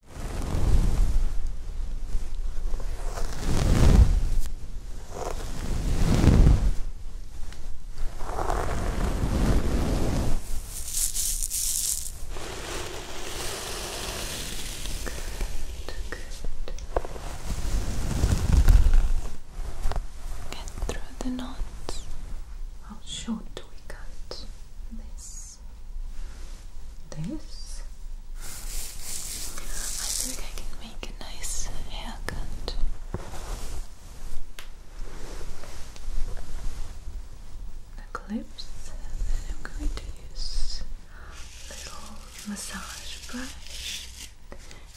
Get through the knot. How short do we cut this? this. I think I can make a nice haircut. The clips, then I'm going to use little massage brush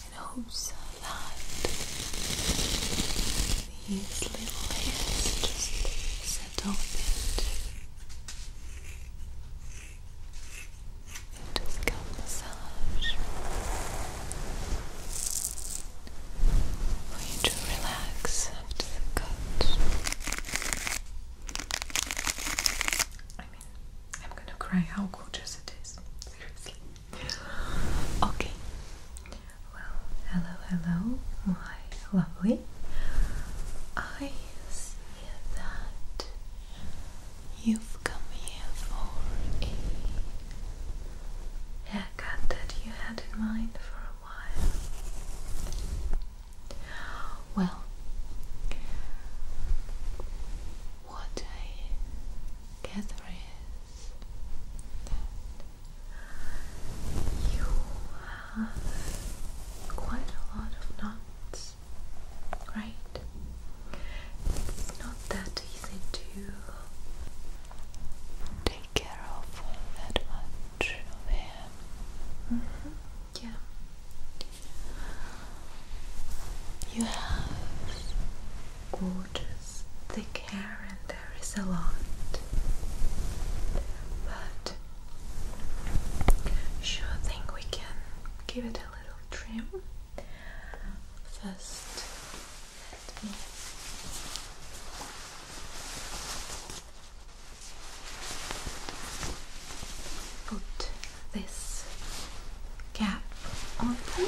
in hopes that these little hairs just adult bit of scalp massage for you to relax after the cut. I mean, I'm gonna cry how gorgeous it is. Seriously. Okay. Well, hello, hello lovely. I see that you've come here for a haircut that you had in mind for a while. Well, what I gather is that you quite a lot of knots, right? It's not that easy to take care of that much of him. Mm-hmm. Yeah. You have gorgeous thick hair, and there is a lot, but Sure thing, we can give it a little trim. First, put this cap on them.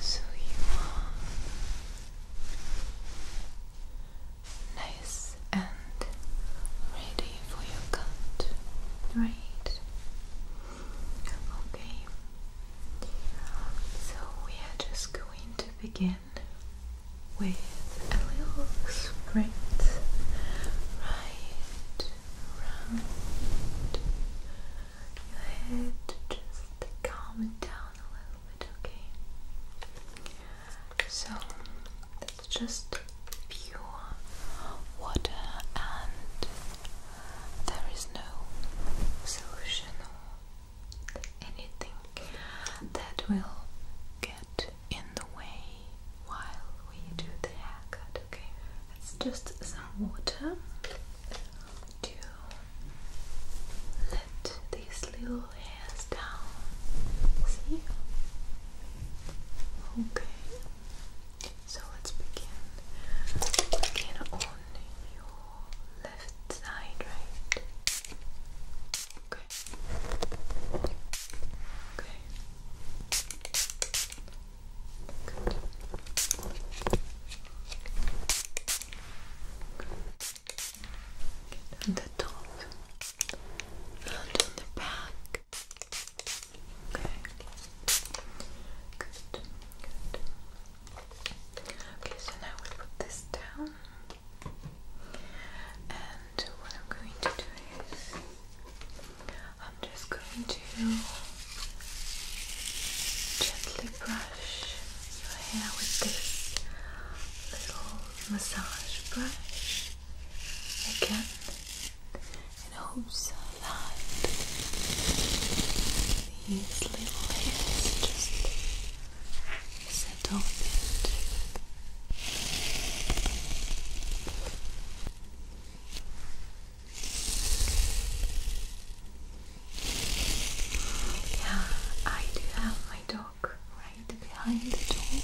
So you are nice and ready for your cut, right? Okay. So we are just going to begin with a little sprint right around your head, just calm it down a little bit, okay? So, that's just pure water, and there is no solution or anything that will get in the way while we do the haircut, okay? It's just some water to let these little hairs down. See? Okay. So let's begin. Begin on your left side, right? Okay. Okay. Good. the top and the back. Okay. Good. Good. Okay, so now we put this down. And what I'm going to do is I'm just going to Gently brush your hair with this little massage brush again in hopes that these little hairs just settle a yeah, I do have my dog right behind the door.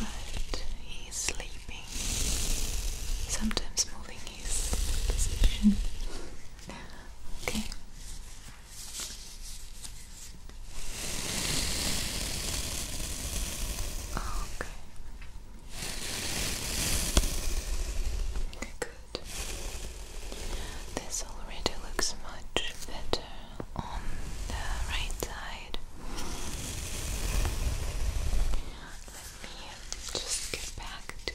But he's sleeping, sometimes moving his position. Okay. Okay. Good. This already looks much better on the right side. Let me just get back to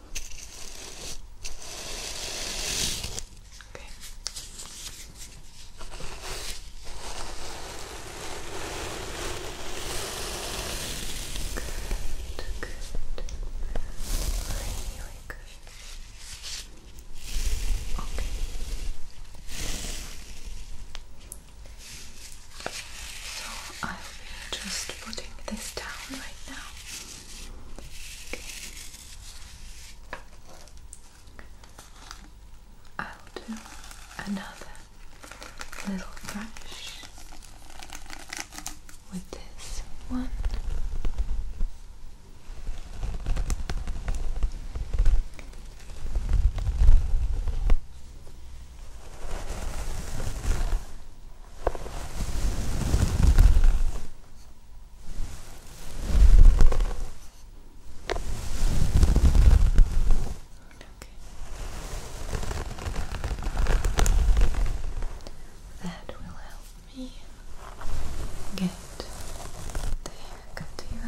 Okay. Good, good. Really good. Okay. So I'll be just putting this down right now. I'll do another little brush with this one. That will help me get the haircut and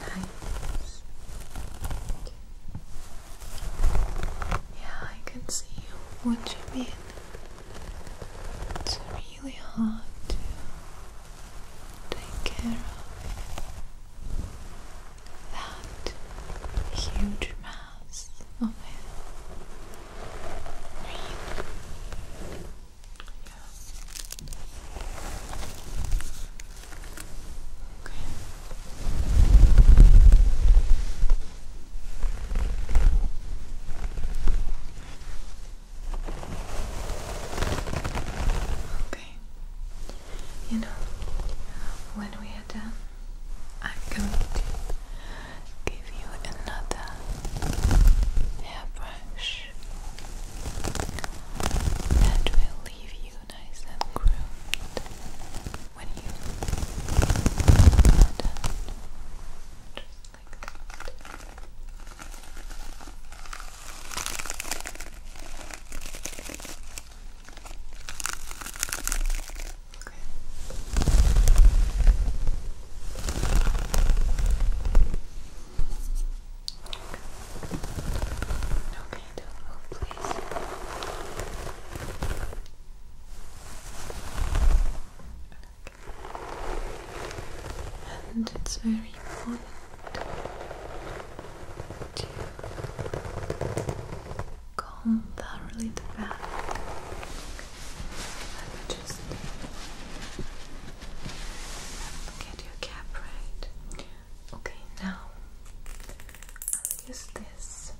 nice yeah, I can see what you mean. It's really hard to take care of that huge mass of hair. Yeah. Okay. Okay. You know, when we are done, I'm going to give you another hairbrush that will leave you nice and groomed when you done. Just like that. Okay. Okay to move, oh, And it's very important to calm down a little back. Let me just get your cap right. Okay, now I'll use this.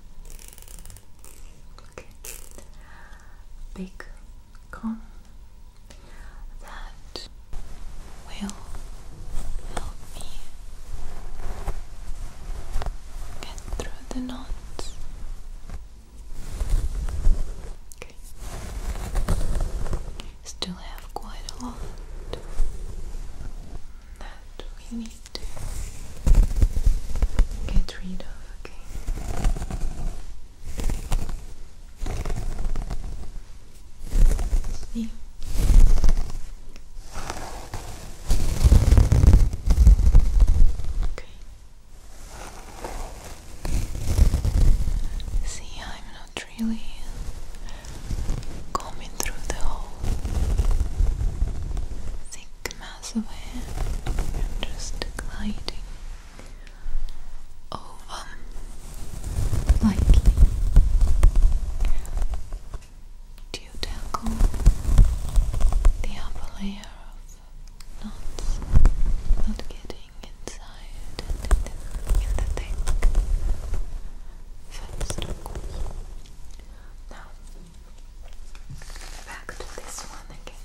big comb that will help me get through the knots. Okay. Still have quite a lot that we need to get rid of, okay? See? Okay. See, I'm not really coming through the whole thick mass of hair just gliding over like do you tackle the upper layer of knots not getting inside and in the, in first of now, back to this one again.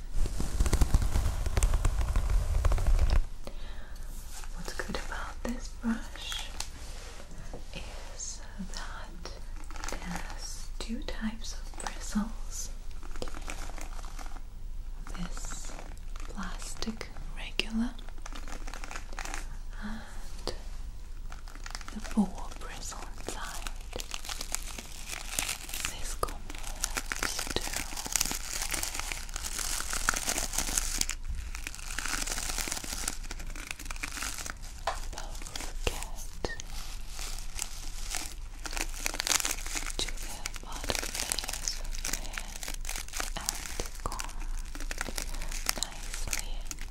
What's good about this brush is that it has two types of bristles. This plastic regular the four bristles inside. This compares to both to the bottom layers of hair and comb nicely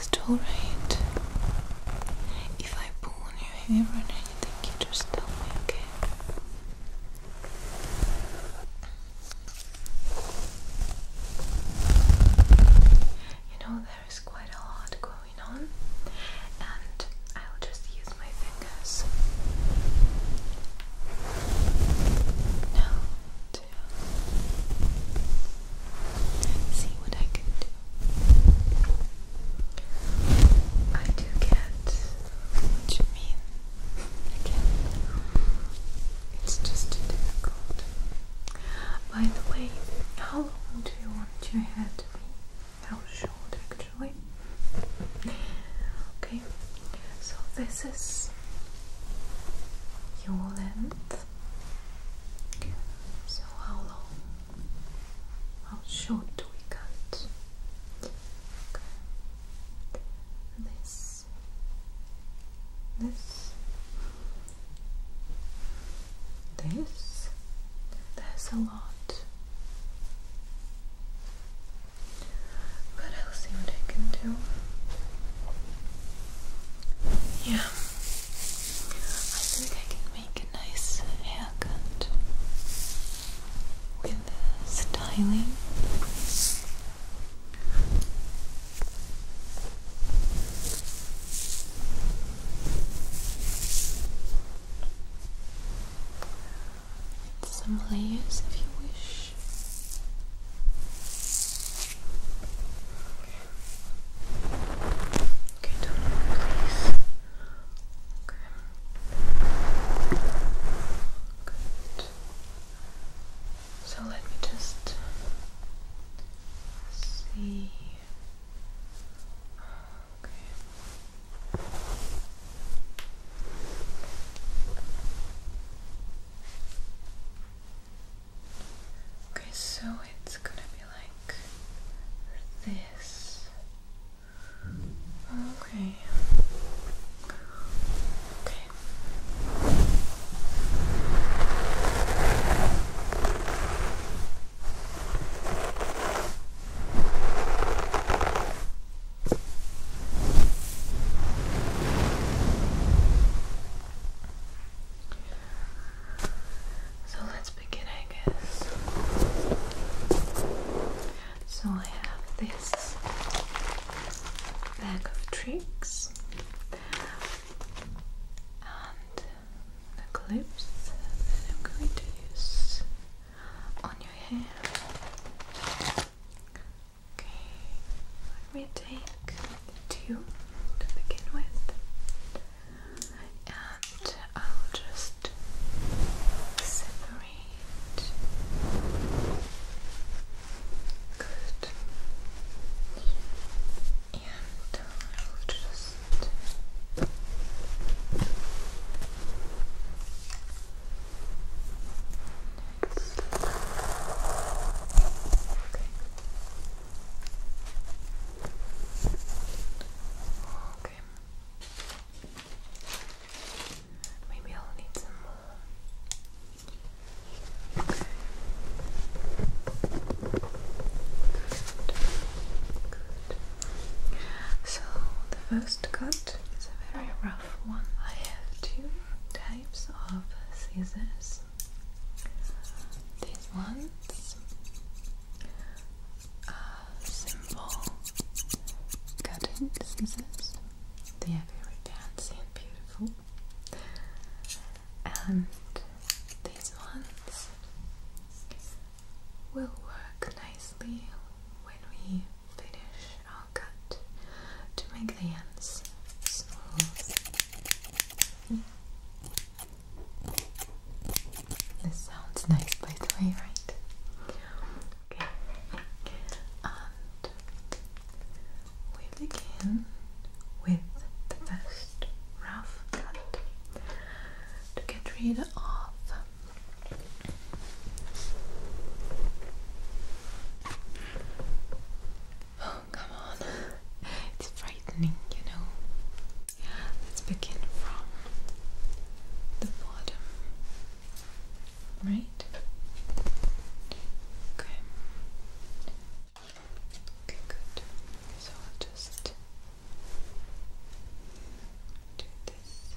It's alright. If I pull on your hair or anything, you just tell me, okay? You know, there is quite a lot going on, and I'll just use my fingers. No, see what I can do. I do get what you mean. Again, it's just too difficult. By the way, how long do you want your hair to be? How short, actually? Okay, so this is your length. So how long? How short do we cut? This. This. This. There's a lot. But I'll see what I can do. Yeah. I think I can make a nice haircut with styling. Some layers if you wish. Okay, don't move, please. Okay. Good. So let me just see. Okay. Okay, so it's gonna be like this. Okay. Okay. So let's begin, I guess. So I have this bag of tricks and the clips that I'm going to use on your hair. Okay, let me take two to begin with, and I'll just separate. Good. And I'll just. Next. Okay. Okay. Maybe I'll need some more. Okay. Good. Good. So the first cut is a very rough one. I have two types of scissors these ones are simple cutting scissors they are very fancy and beautiful and these ones will work nicely when we finish our cut to make the ends smooth this sounds nice, by the way, right? Okay. And we begin with the first rough cut to get rid of Oh, come on. It's frightening, you know. Let's begin from the bottom. Right? Okay. Okay, good. So I'll just do this.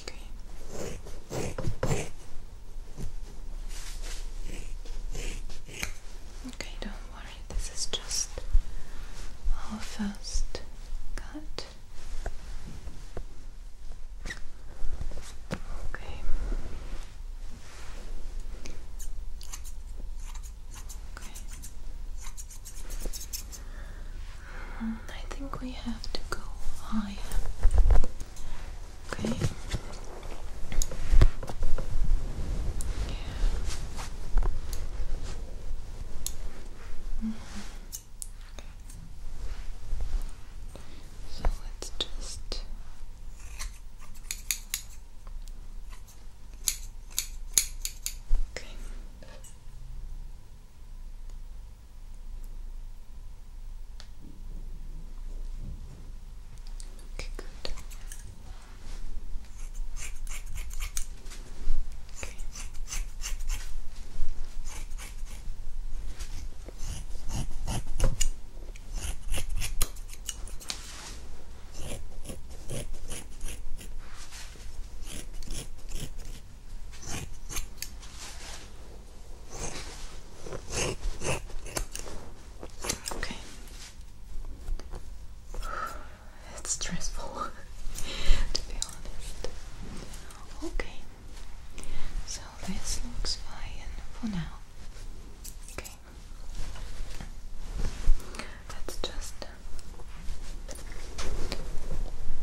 Okay. Okay, don't worry, this is just our first cut. Okay. Okay. I think we have to go higher. okay. Mm-hmm. So let's just. Okay. Okay, good. Okay. Okay. It's stressful to be honest. Okay. So this looks fine for now. Okay. Let's just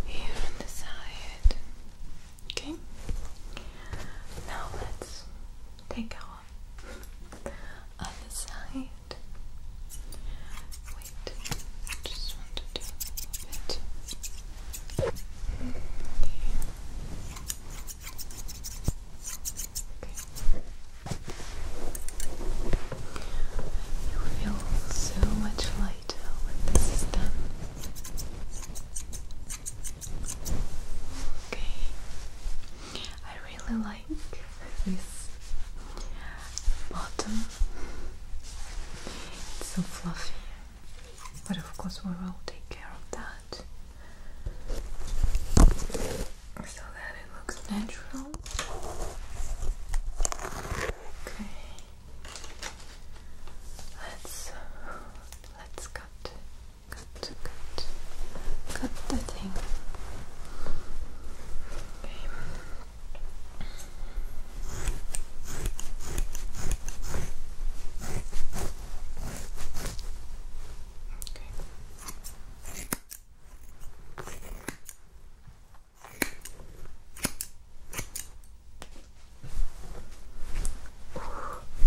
here on the side. Okay. Now let's take our other side. Wait, I just want to do a bit. You feel so much lighter when this is done. Okay, I really like this bottom. It's so fluffy, but of course we will take care of that. So that that it looks natural. Okay. Let's let's cut cut cut cut the thing. Okay.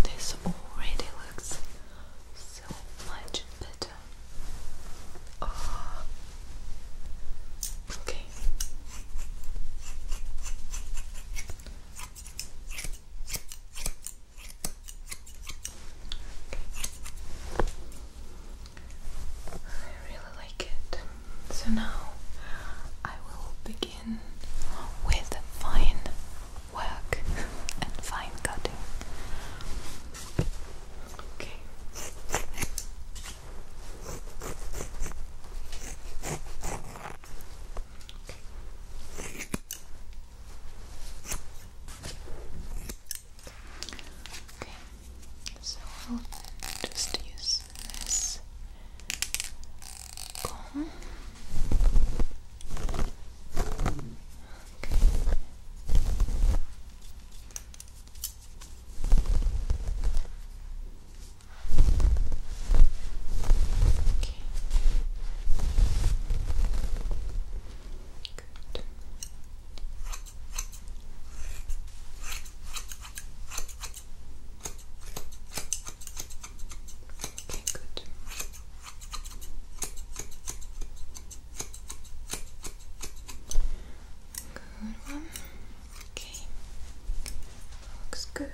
This already looks so much better. Ah. Okay. I really like it. So now I will begin with fine work and fine cutting. Okay. Okay, so I'll just use this comb. Okay. Okay. Okay, good. Good one. Okay. Looks good.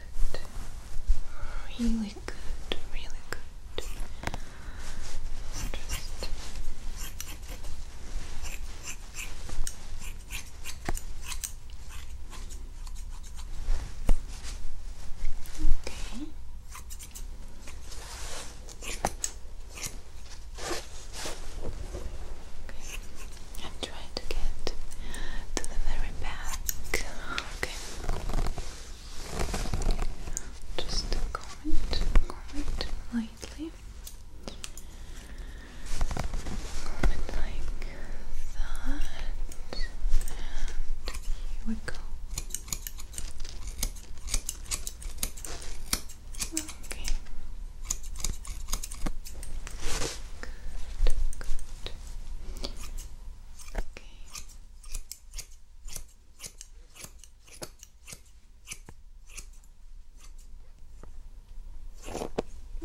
Really good. Really good. Good. Just Okay. Okay. I'm trying to get to the very back. Okay. Just comb it, lightly. Comb like that. And here we go. Okay. Good, good. Okay.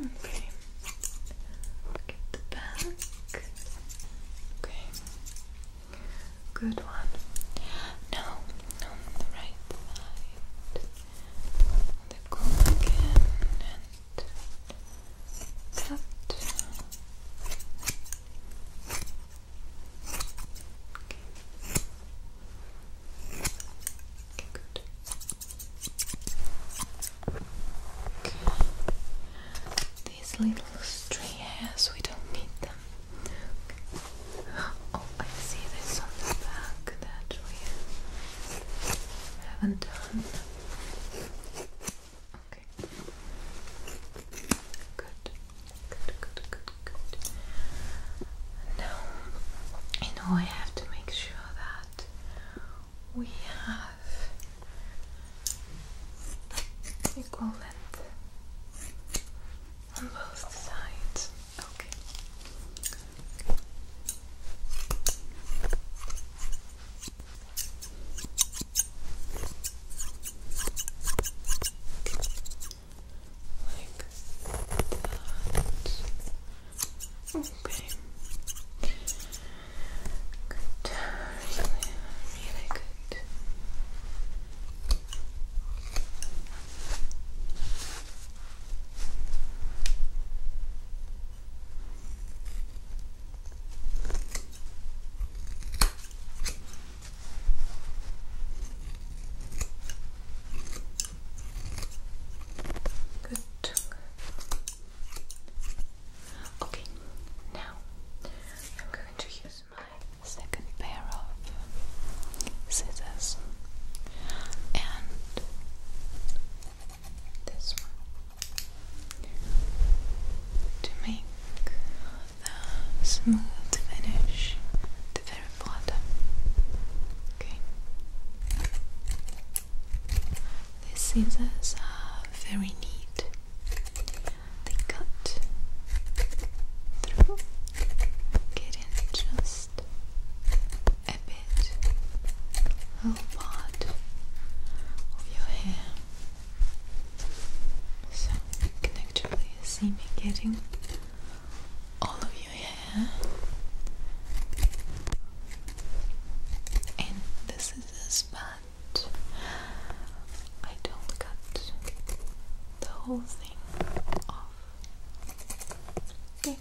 Okay. Get the back. Okay. Good one. Now on the right side. On again and cut. These little stray hairs, we don't need them. Oh, I see this on the back that we haven't done. Okay. Good. Good, Now, you know, I have to make sure that we have equal length on both sides. Okay that. Okay. Good. Really, really good. Good. Okay, now I'm going to use my second pair of scissors and this one to make the smooth finish the very bottom. Okay. These scissors are very neat. They cut through, getting just a bit, a part of your hair. So you see me getting all of your hair. And this is a spot. I don't cut the whole thing off. Yeah.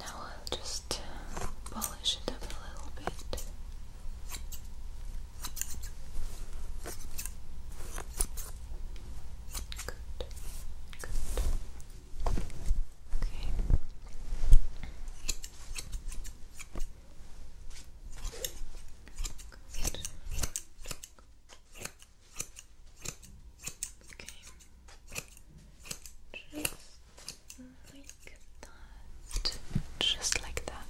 Now I'll just polish it up a little bit. Good. Okay. Just like that. Just like that.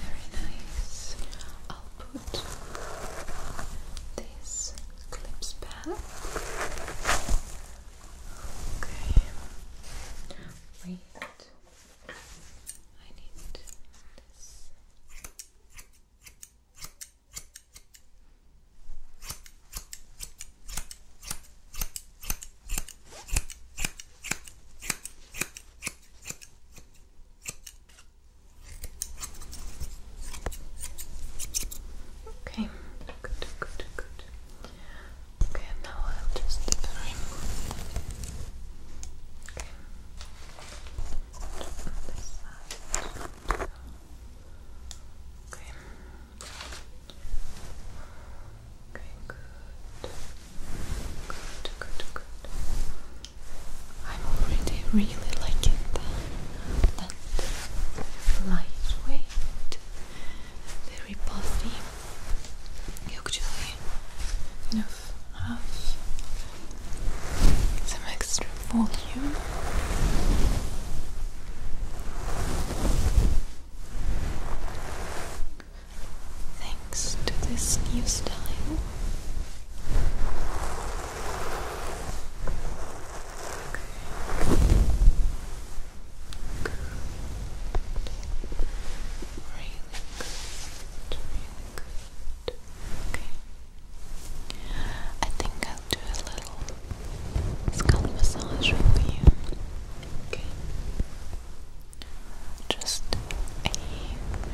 Very nice. I'll put this clips back. Okay. Wait. I need this. Okay, good, good, good. Okay, now I'll just remove Okay. this side. Okay. I'm already really liking that, that lightweight, very puffy. You actually kind have some extra volume thanks to this new style. Good. Really good. Really good. Okay. I think I'll do a little scalp massage for you. Okay. Just a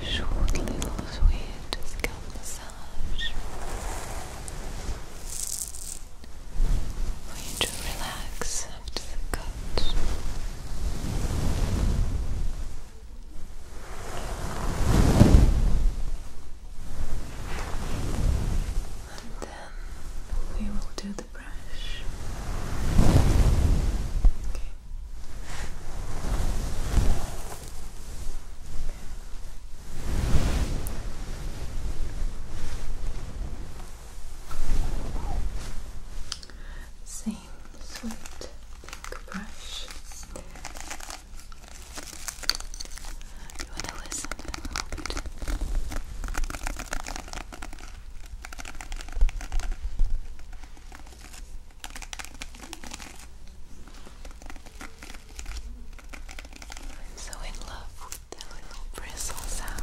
short little sweet scalp massage for you to relax after the cut. And then we will do the brush. Same sweet pink brush. You want to listen a little bit? I'm so in love with the little bristle sound.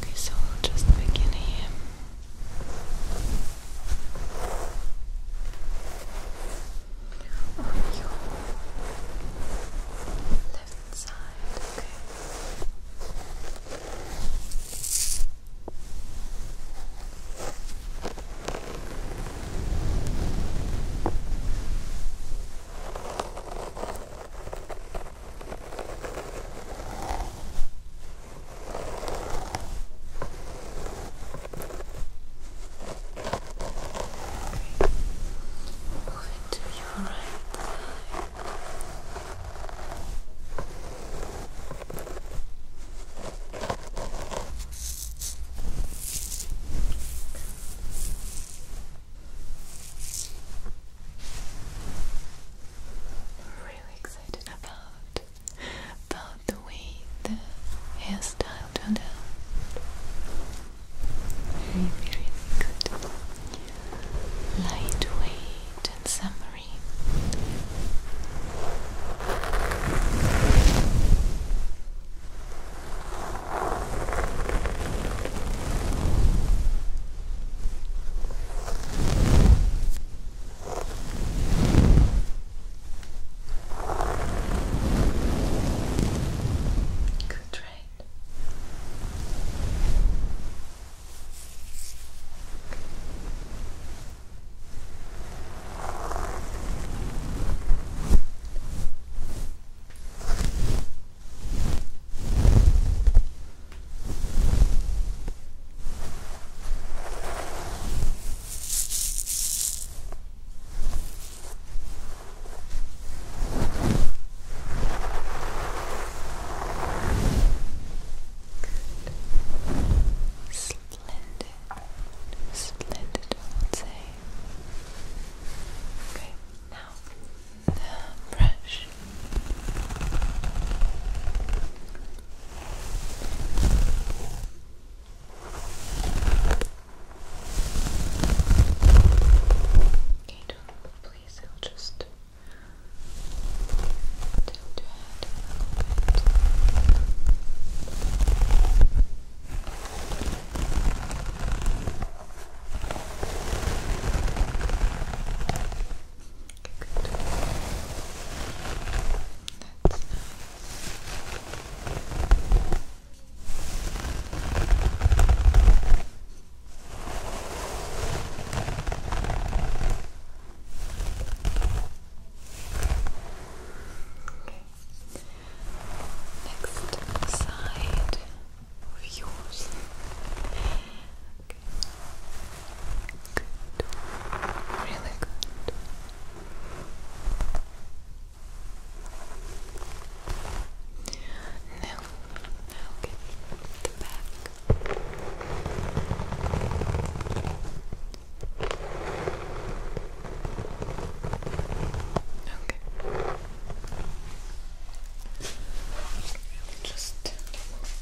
Okay, so we'll just begin here. On your left side, okay. Move it to your right I'm really excited about about the way the hairstyle turned out. Very, very good. Lightweight and summery. Good, right? Good. Splendid. Splendid, I would say. Okay, now the brush. Okay, don't move, please. I'll just tilt your head a little bit. Okay, good. Next side of yours. Good. Really good. Now, now get the back. Okay. Just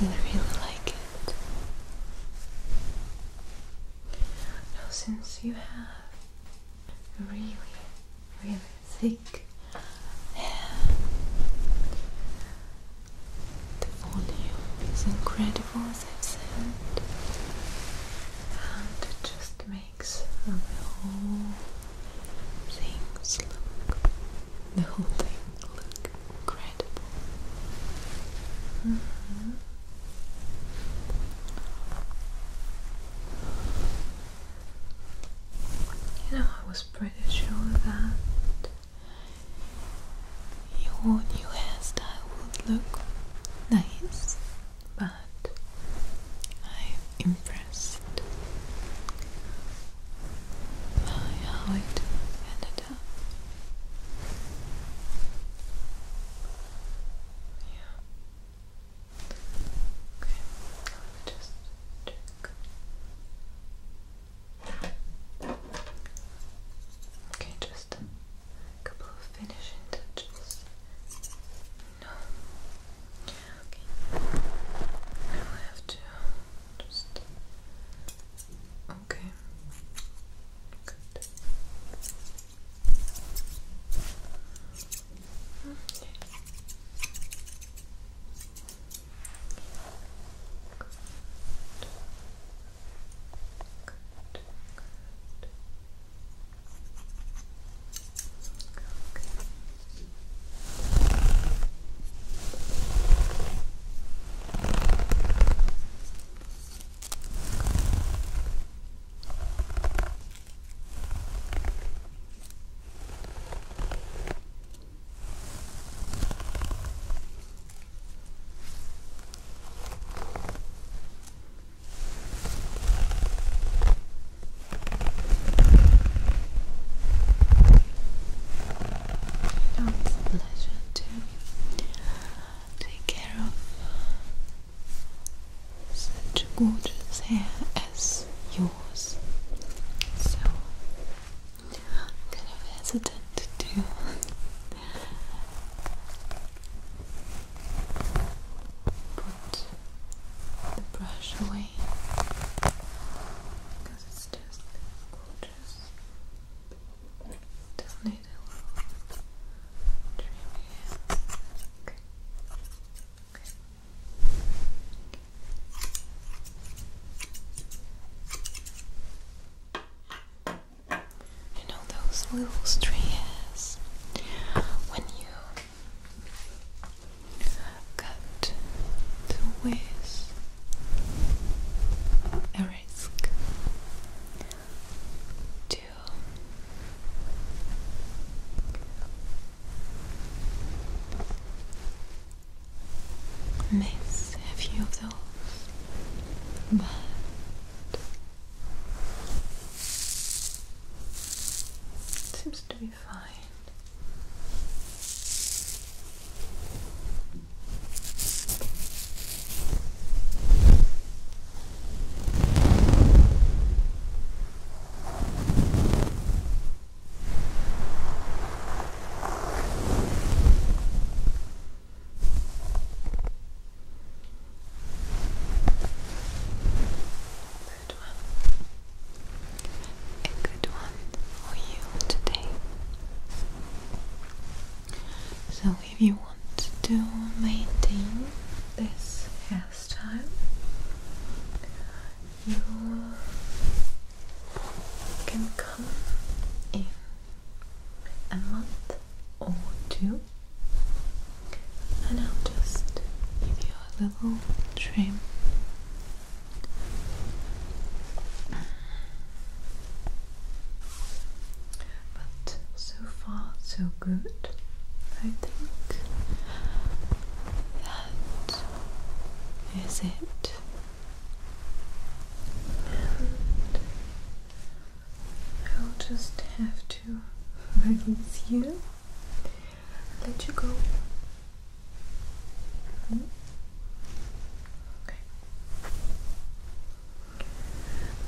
Really, really like it. Now, since you have really, really thick the volume is incredible, as I've said, and it just makes the whole things look the whole thing look incredible. Mm-hmm. You know, I was pretty sure that your new hairstyle would look nice, but I'm impressed by how it ended up. Yeah. Okay, let just check. Okay, just a couple of finishing touches. No. Okay. Now I have to just. Okay. Good. Okay. Good. Good. Good. Okay. Okay. Oh, it's a pleasure to take care of such gorgeous hair as yours. So I'm hesitant to Put the brush away because it's just gorgeous. Just need a little trim Okay. You know those little stray when you cut the with a risk to miss a few of those, but seems to be fine. A good one for you today. So if you want to maintain this hair last time. You can come in a month or two, and I'll just give you a little trim. But so far, so good. I think that is it. I'll just have to release you, let you go. Hmm?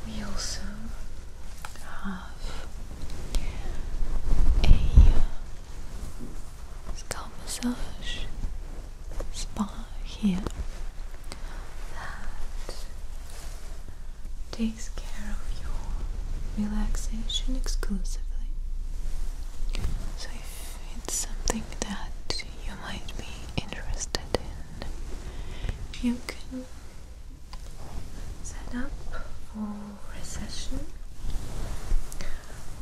We also have a scalp massage spa here that takes care of your relaxation exclusively. So, it's something that you might be interested in, you can set up for recession.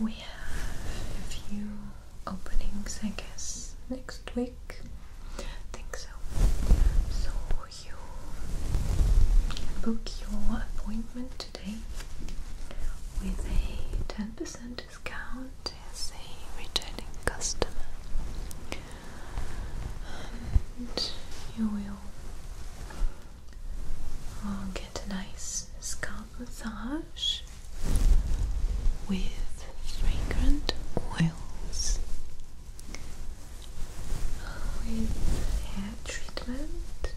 We have a few openings, I guess, next week. think so. So you book your appointment today with a 10% discount as a returning customer. And you will I'll get a nice scalp massage with fragrant oils, with hair treatment,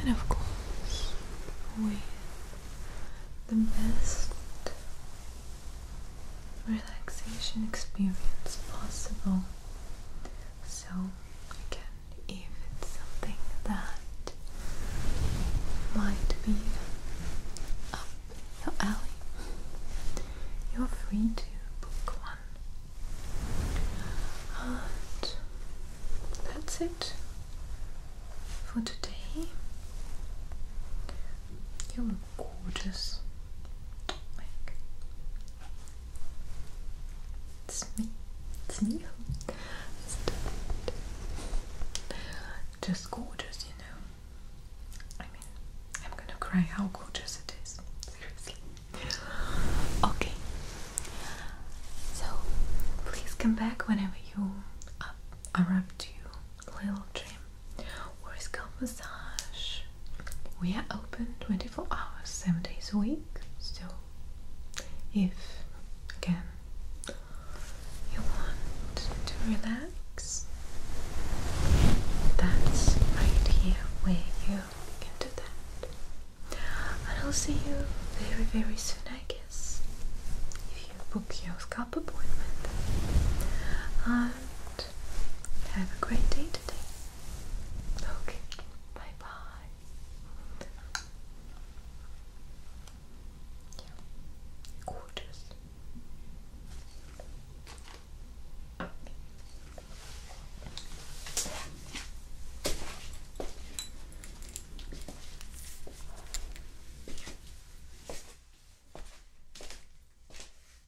and of course with the best relaxation experience possible. So again, if it's something that might be up your alley, you're free to book one. And that's it for today. You are gorgeous it's me. It's me. Just gorgeous, you know. I mean, I'm gonna cry how gorgeous it is. Seriously. Okay. So, please come back whenever you uh, are up to your little dream scalp massage. We are open 24 hours, 7 days a week. So, if again you want to relax, that's right here where you can do that. And I'll see you very, very soon, I guess, if you book your scalp appointment. And have a great day today. Okay, bye bye. Yeah,